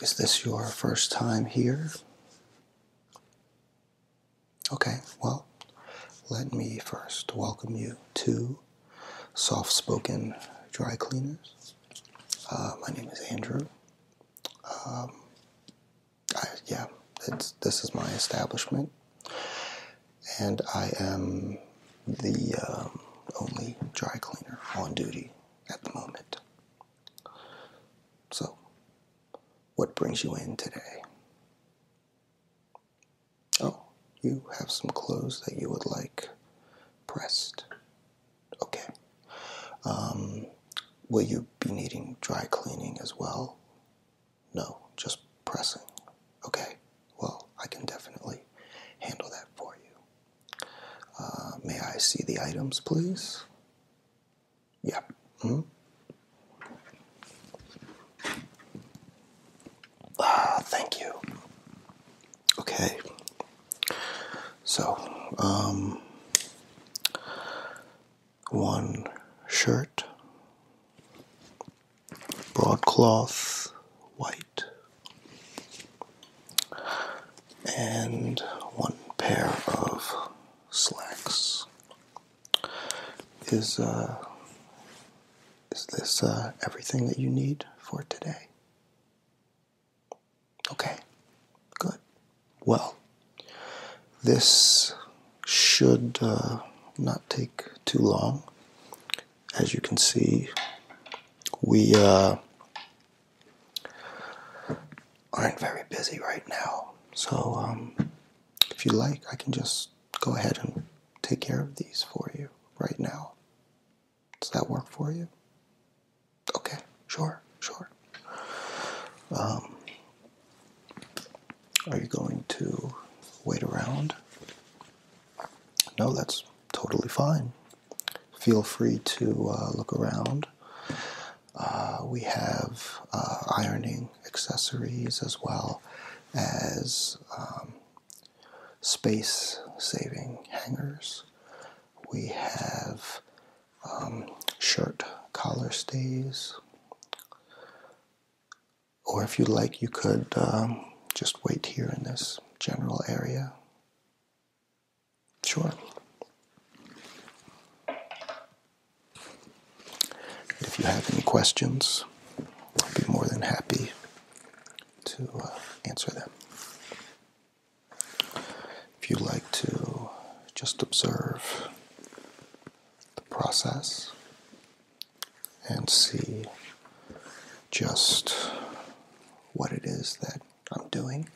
Is this your first time here? Okay, well, let me first welcome you to Soft Spoken Dry Cleaners. Uh, my name is Andrew. Um, yeah, this is my establishment, and I am the um, only dry cleaner on duty at the moment. So, what brings you in today? Oh, you have some clothes that you would like pressed. Okay. Um, will you be needing dry cleaning as well? No, just pressing. Okay, well, I can definitely handle that for you. Uh, may I see the items, please? Yep. Mm-hmm. Ah, thank you. Okay. So, um, one shirt, broadcloth, white and one pair of slacks. Is uh, is this uh, everything that you need for today? Okay, good. Well, this should uh, not take too long. As you can see, we aren't very busy right now. So, um, if you like, I can just go ahead and take care of these for you right now. Does that work for you? Okay, sure, sure. Um, are you going to wait around? No, that's totally fine. Feel free to uh, look around. Uh, we have uh, ironing accessories as well as um, space saving hangers. We have um, shirt collar stays. Or if you'd like, you could um, just wait here in this general area. Sure. if you have any questions, I'd be more than happy to uh, answer them. If you'd like to just observe the process and see just what it is that I'm doing,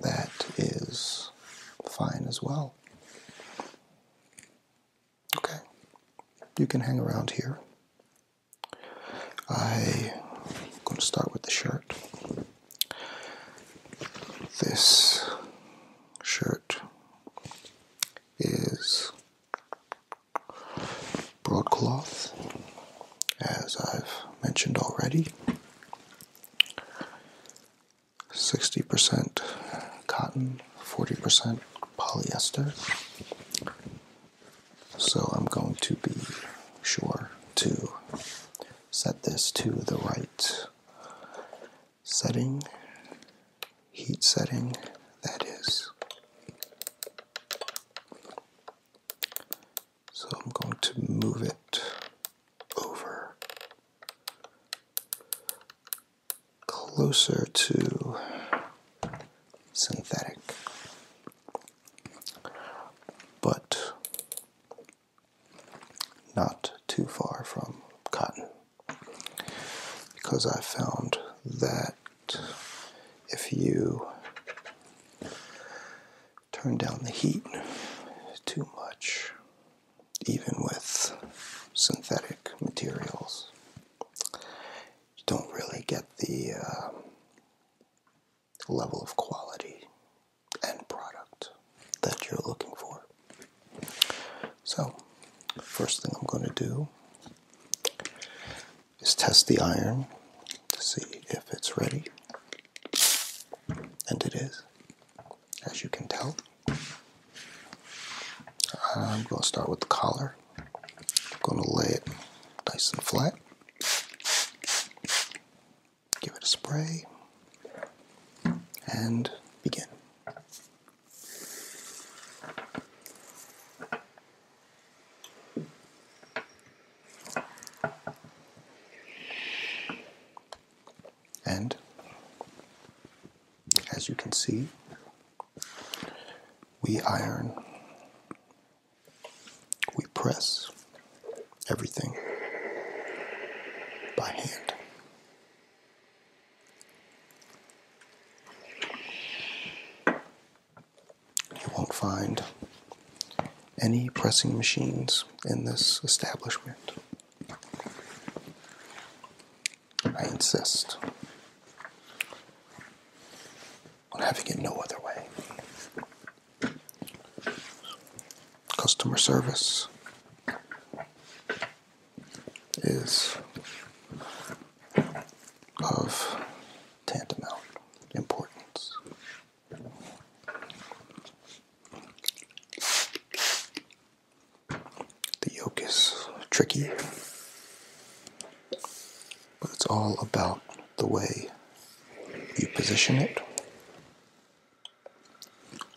that is fine as well. Okay, you can hang around here. I'm going to start with the shirt. This shirt is broadcloth, as I've mentioned already. 60% cotton, 40% polyester. So I'm going to be sure to set this to the right setting, heat setting, that is. So I'm going to move it over closer to synthetic. But not too far from cotton because I found that if you turn down the heat too much, even with synthetic materials. You don't really get the uh, level of quality and product that you're looking for. So, first thing I'm going to do is test the iron to see if it's ready. And it is, as you can tell. I'm going to start with the collar. I'm going to lay it nice and flat. Give it a spray. And begin. And as you can see, we iron, we press everything by hand. You won't find any pressing machines in this establishment. I insist on having it no other way. Customer service is of tantamount importance. The yoke is tricky, but it's all about the way you position it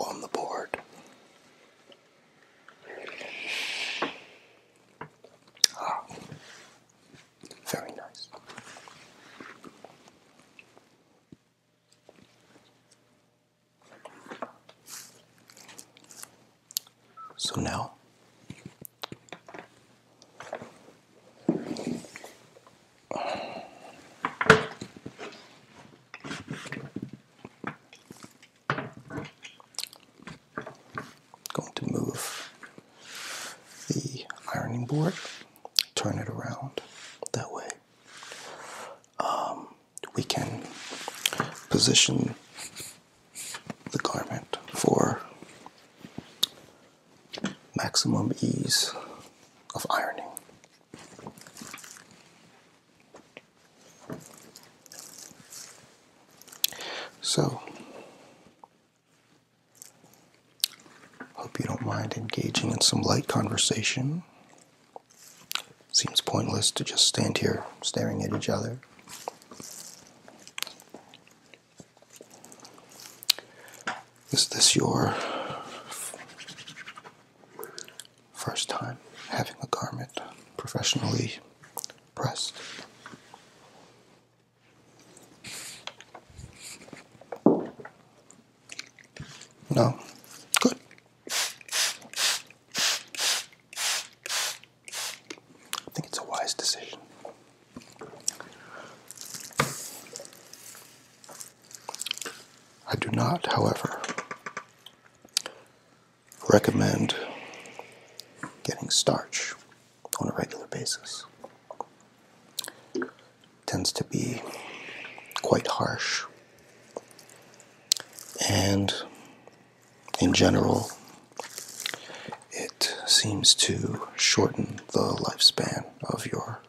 on the board. Ah. Very nice. So now Going to move the ironing board, turn it around that way. Um, we can position the garment for maximum ease of ironing. So, Hope you don't mind engaging in some light conversation. Seems pointless to just stand here staring at each other. Is this your first time having a garment professionally pressed? No. Good. I think it's a wise decision. I do not, however, recommend getting starch on a regular basis tends to be quite harsh and in general it seems to shorten the lifespan of your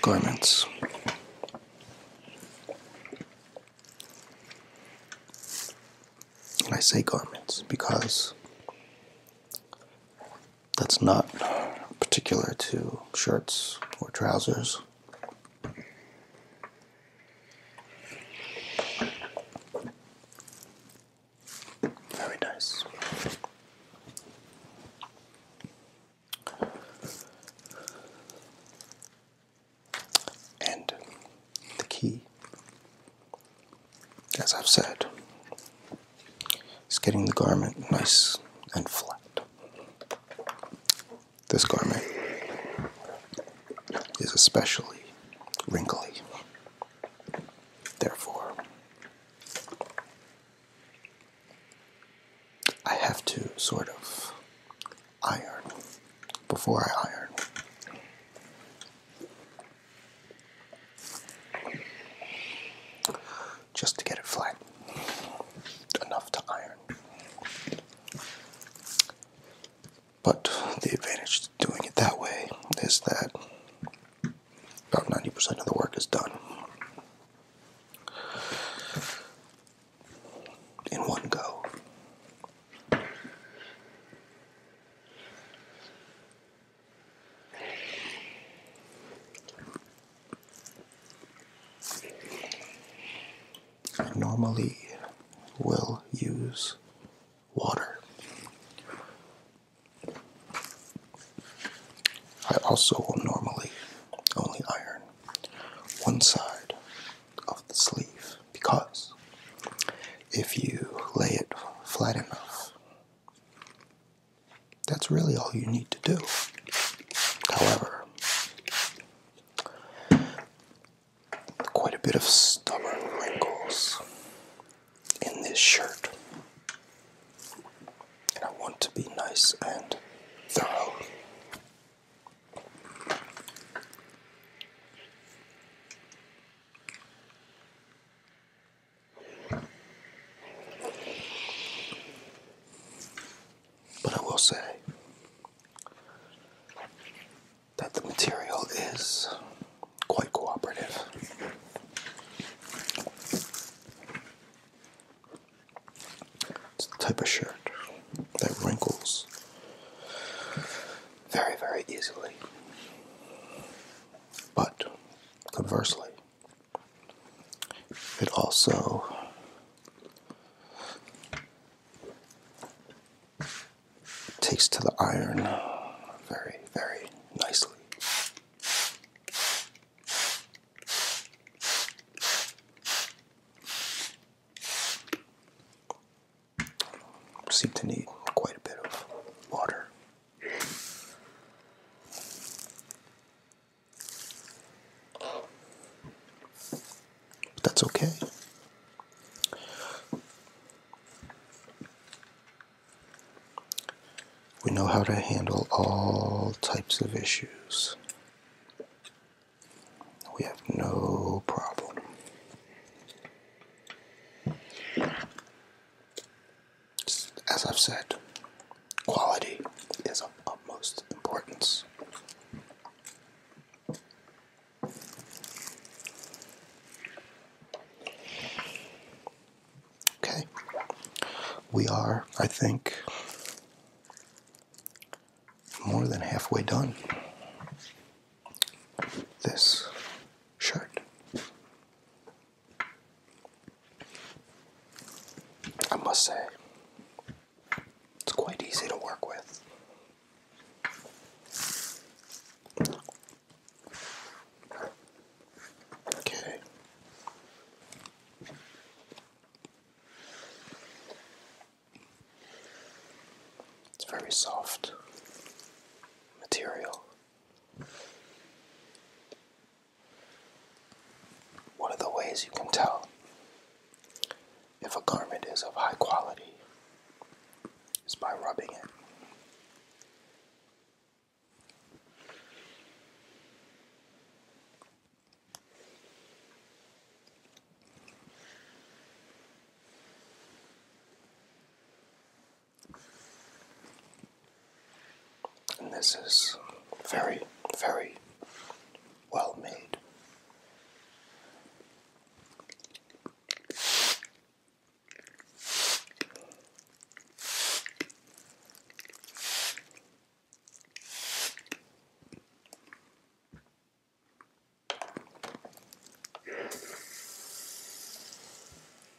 garments and I say garments because that's not particular to shirts or trousers. Very nice. And the key as I've said, it's getting the garment nice and flat. This garment is especially wrinkly. Therefore, I have to sort of iron before I iron just to get it flat enough to iron. But the advantage to doing it that way is that about 90% of the work is done in one go. I normally will use water. I also will normally only iron one side of the sleeve because if you lay it flat enough that's really all you need to do. However, quite a bit of stubborn wrinkles in this shirt. And I want to be nice and thorough. But I will say that the material is quite cooperative. It's the type of shirt that wrinkles very, very easily. But conversely, it also takes to the iron very, very nicely. Seem to need quite a bit of water that's okay. We know how to handle all types of issues. We have no problem. As I've said, quality is of utmost importance. Okay, we are, I think, more than halfway done. This shirt. I must say, it's quite easy to work with. Okay. It's very soft material. One of the ways you can tell if a garment is of high quality is by rubbing it. And this is very, very well made.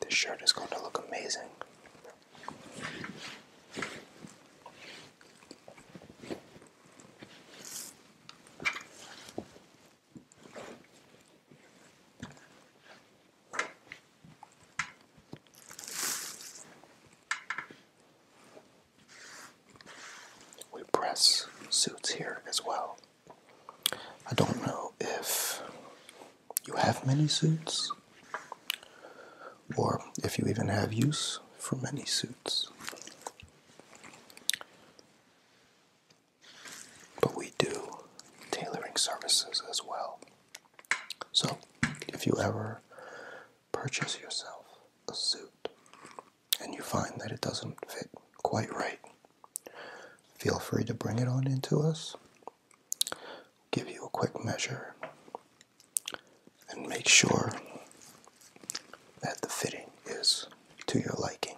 This shirt is going to look amazing. We press suits here as well. I don't know if you have many suits or if you even have use for many suits. But we do tailoring services as well. So if you ever purchase yourself a suit and you find that it doesn't fit quite right, Feel free to bring it on into us. Give you a quick measure and make sure that the fitting is to your liking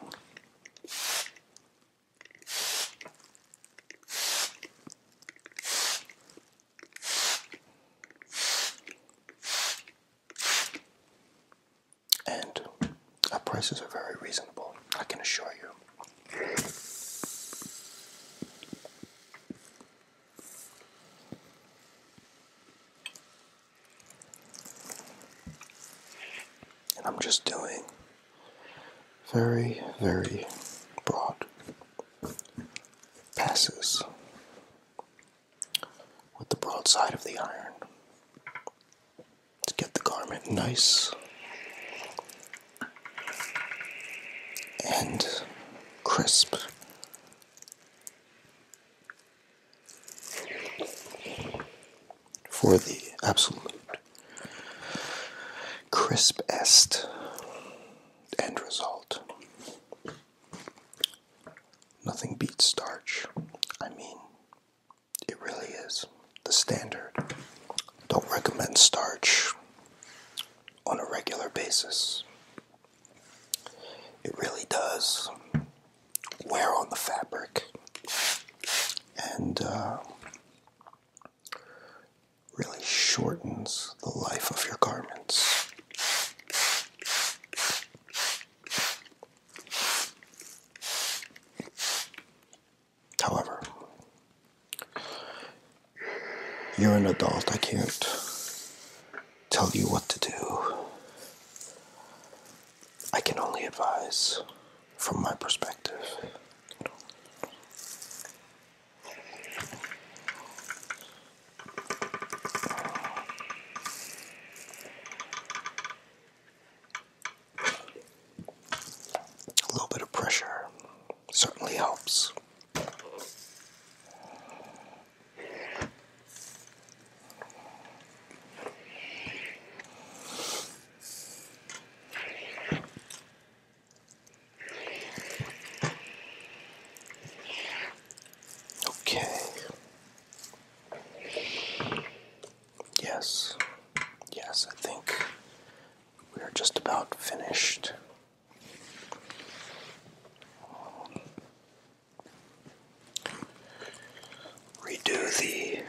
and our prices are very reasonable, I can assure you. And I'm just doing very, very broad passes with the broad side of the iron to get the garment nice and crisp. For the absolute crispest end result. Nothing beats starch. I mean, it really is the standard. Don't recommend starch on a regular basis. It really does wear on the fabric and uh, really shortens the life of your garments. However, you're an adult. I can't tell you what to do. I can only advise from my perspective. A little bit of pressure certainly helps. Okay. Yes, yes, I think we're just about finished. Redo the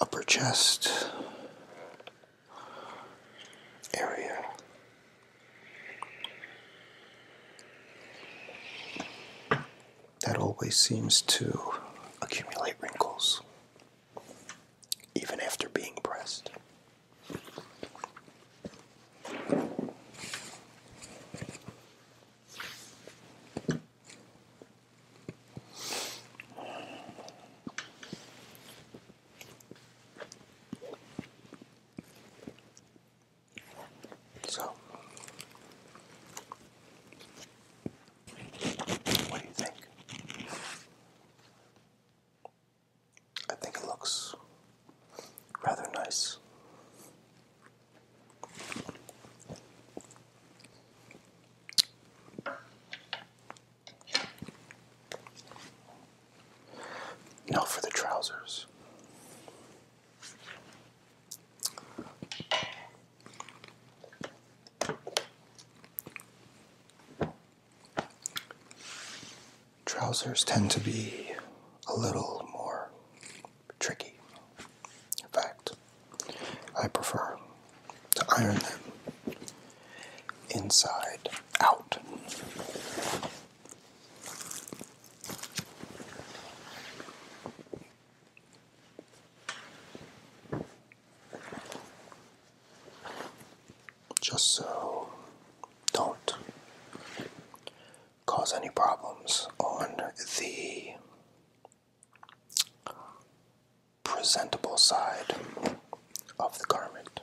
upper chest area that always seems to accumulate wrinkles, even after being pressed. So, what do you think? I think it looks rather nice. Now for the trousers. Trousers tend to be a little more tricky. In fact, I prefer to iron them inside out. Just so don't cause any problems on the presentable side of the garment.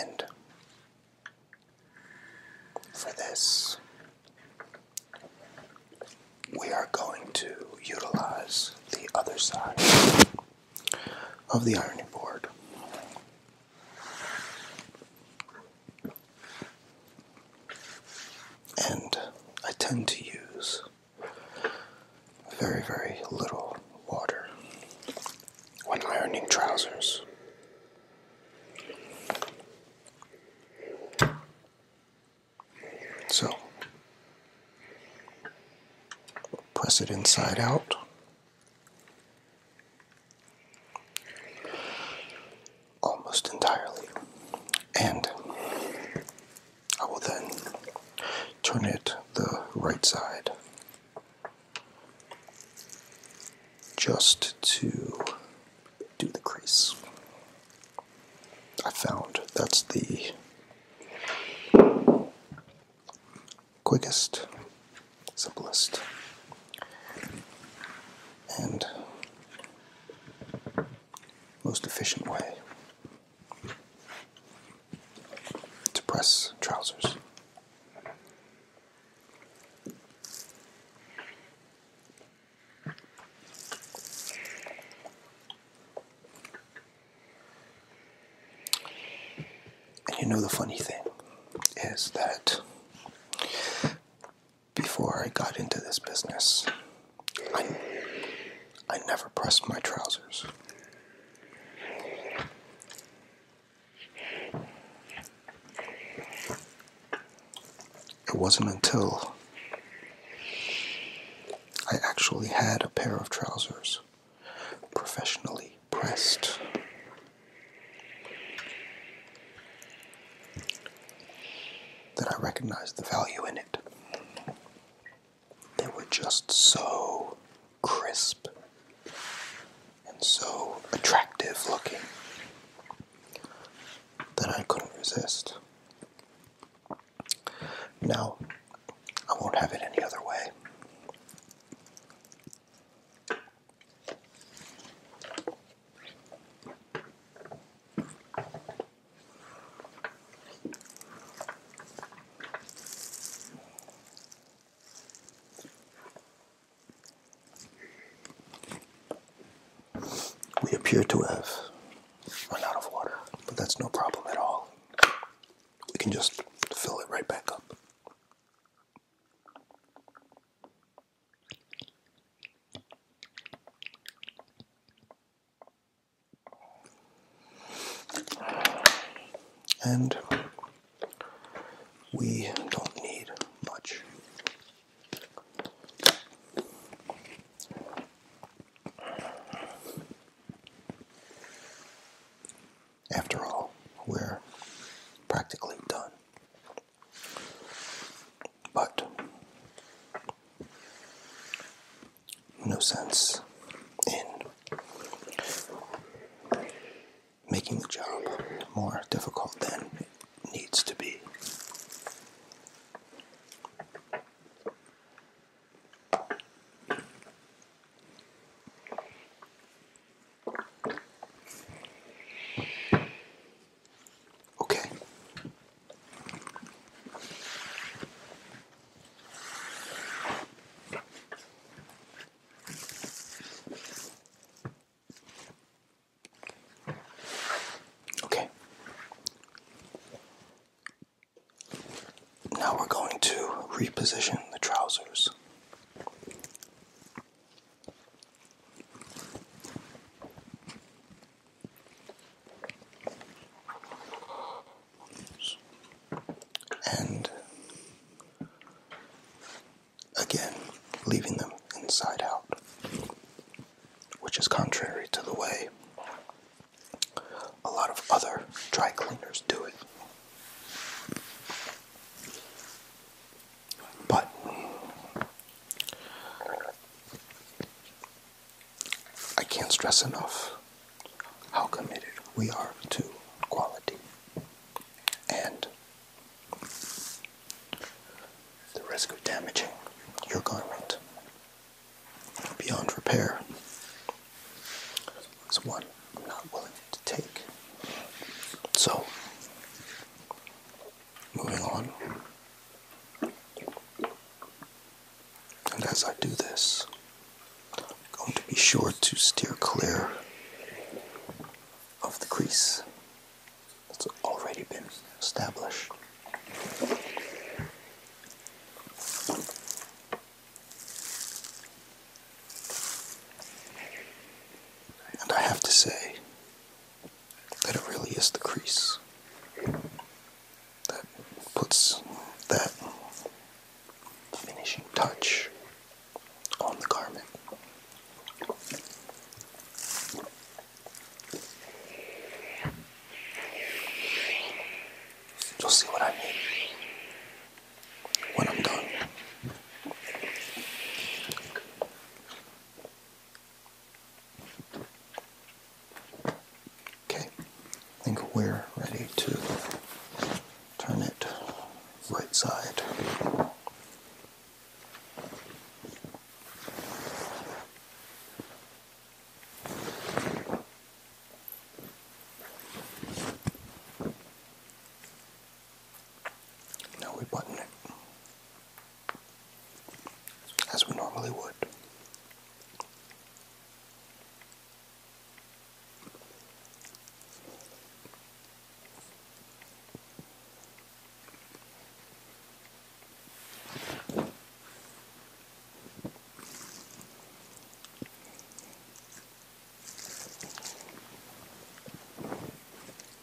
And for this, we are going to utilize the other side of the ironing board. And I tend to use very, very little water when ironing trousers. So press it inside out. Almost entirely. And I will then turn it the right side just to do the crease. I found that's the quickest, simplest, and most efficient way to press trousers. And you know the funny thing is that before I got into this business, I, I never pressed my trousers. It wasn't until I actually had a pair of trousers professionally pressed that I recognized the value in it. They were just so crisp and so attractive looking that I couldn't resist. Now, I won't have it any other way. We appear to have run out of water, but that's no problem at all. We can just fill it right back up. And we don't need much. After all, we're practically done. But no sense and making the job more difficult than it needs to be. Okay. Okay. Now we're going to reposition the trousers and again leaving them inside out, which is contrary to the way a lot of other dry cleaners do it. But I can't stress enough how committed we are to quality. And the risk of damaging your garment beyond repair is one I'm not willing to take. So, moving on. And as I do this, going to be sure to steer clear of the crease that's already been established. And I have to say that it really is the crease that puts that finishing touch on the garment. You'll see what I mean when I'm done. Okay, I think we're ready to turn it right side. Now we button it as we normally would.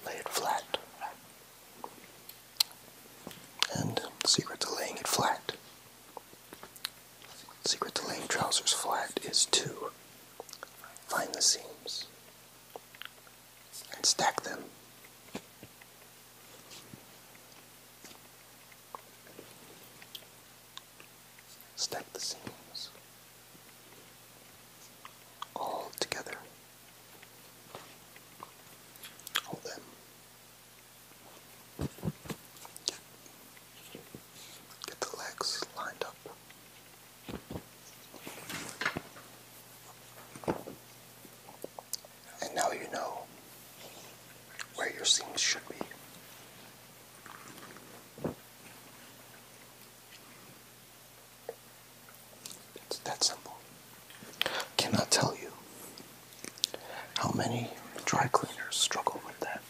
Lay it flat. And the um, secret to laying it flat Secret to laying trousers flat is to find the seams and stack them. Stack the seams all together. Hold them. Get the legs lined up. And now you know where your seams should be. It's that simple. Cannot tell you how many dry cleaners struggle with that.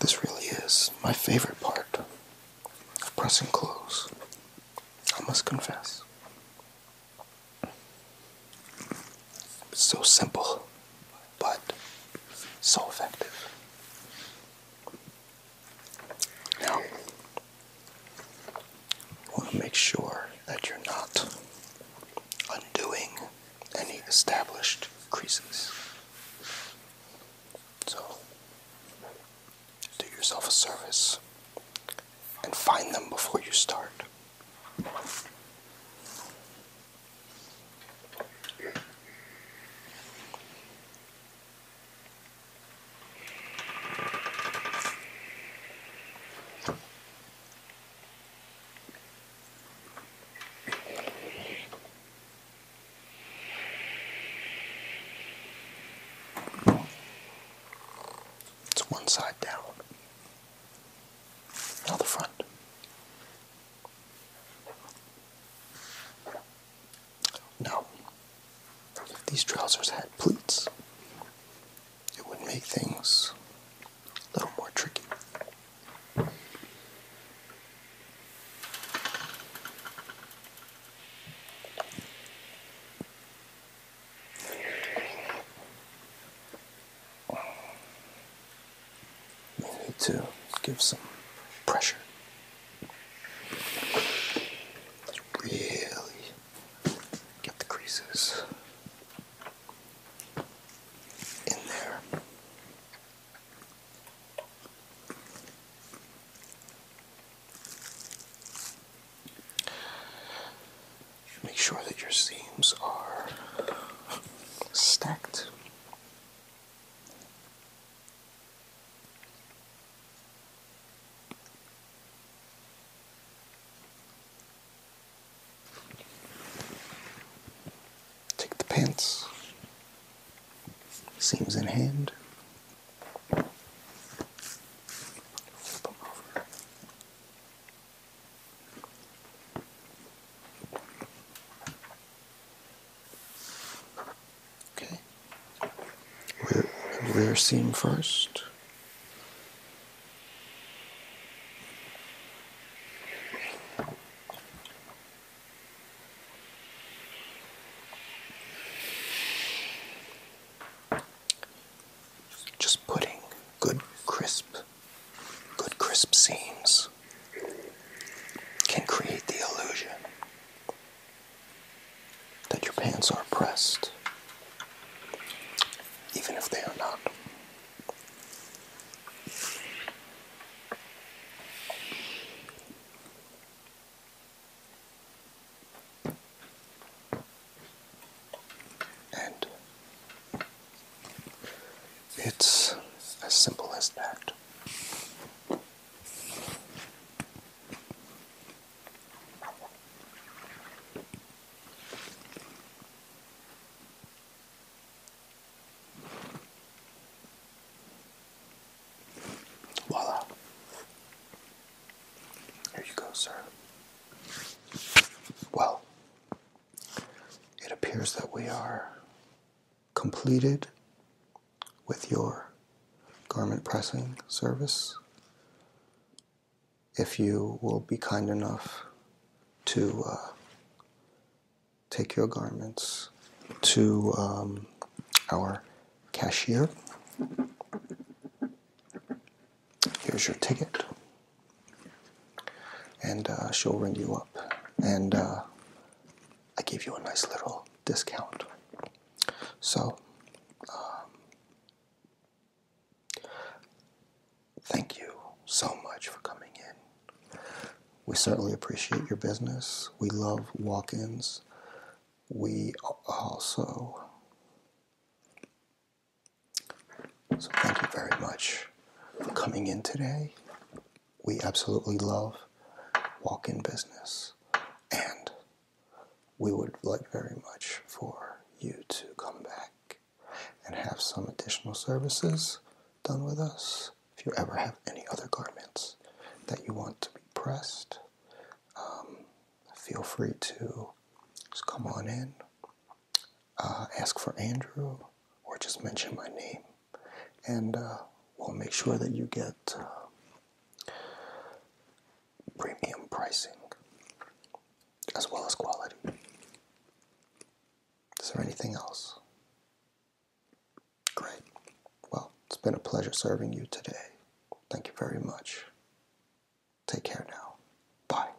This really is my favorite part of pressing close, I must confess. It's so simple, but so effective. Now, want to make sure that you're not undoing any established creases. So, do yourself a service and find them before you start. It's one side down, now the front. No. If these trousers had pleats, it would make things a little more tricky need to give some pressure. Really get the creases in there. Make sure that your seams are stacked. Take the pants, seams in hand, Okay. We're, we first. Just putting good crisp, good crisp seams can create the illusion that your pants are pressed, even if they are not. And it's as simple as that. Voila. Here you go, sir. Well, it appears that we are completed with your garment pressing service. If you will be kind enough to uh, take your garments to um, our cashier. Here's your ticket. And uh, she'll ring you up. And uh, I gave you a nice little discount. So, um, thank you so much for coming in. We certainly appreciate your business. We love walk ins. We also. So, thank you very much for coming in today we absolutely love walk in business. And we would like very much for you to come back and have some additional services done with us. If you ever have any other garments that you want to be pressed, um, feel free to just come on in, uh, ask for Andrew, or just mention my name and uh, we'll make sure that you get uh, premium pricing as well as quality. Is there anything else? Great. Well, it's been a pleasure serving you today. Thank you very much. Take care now. Bye.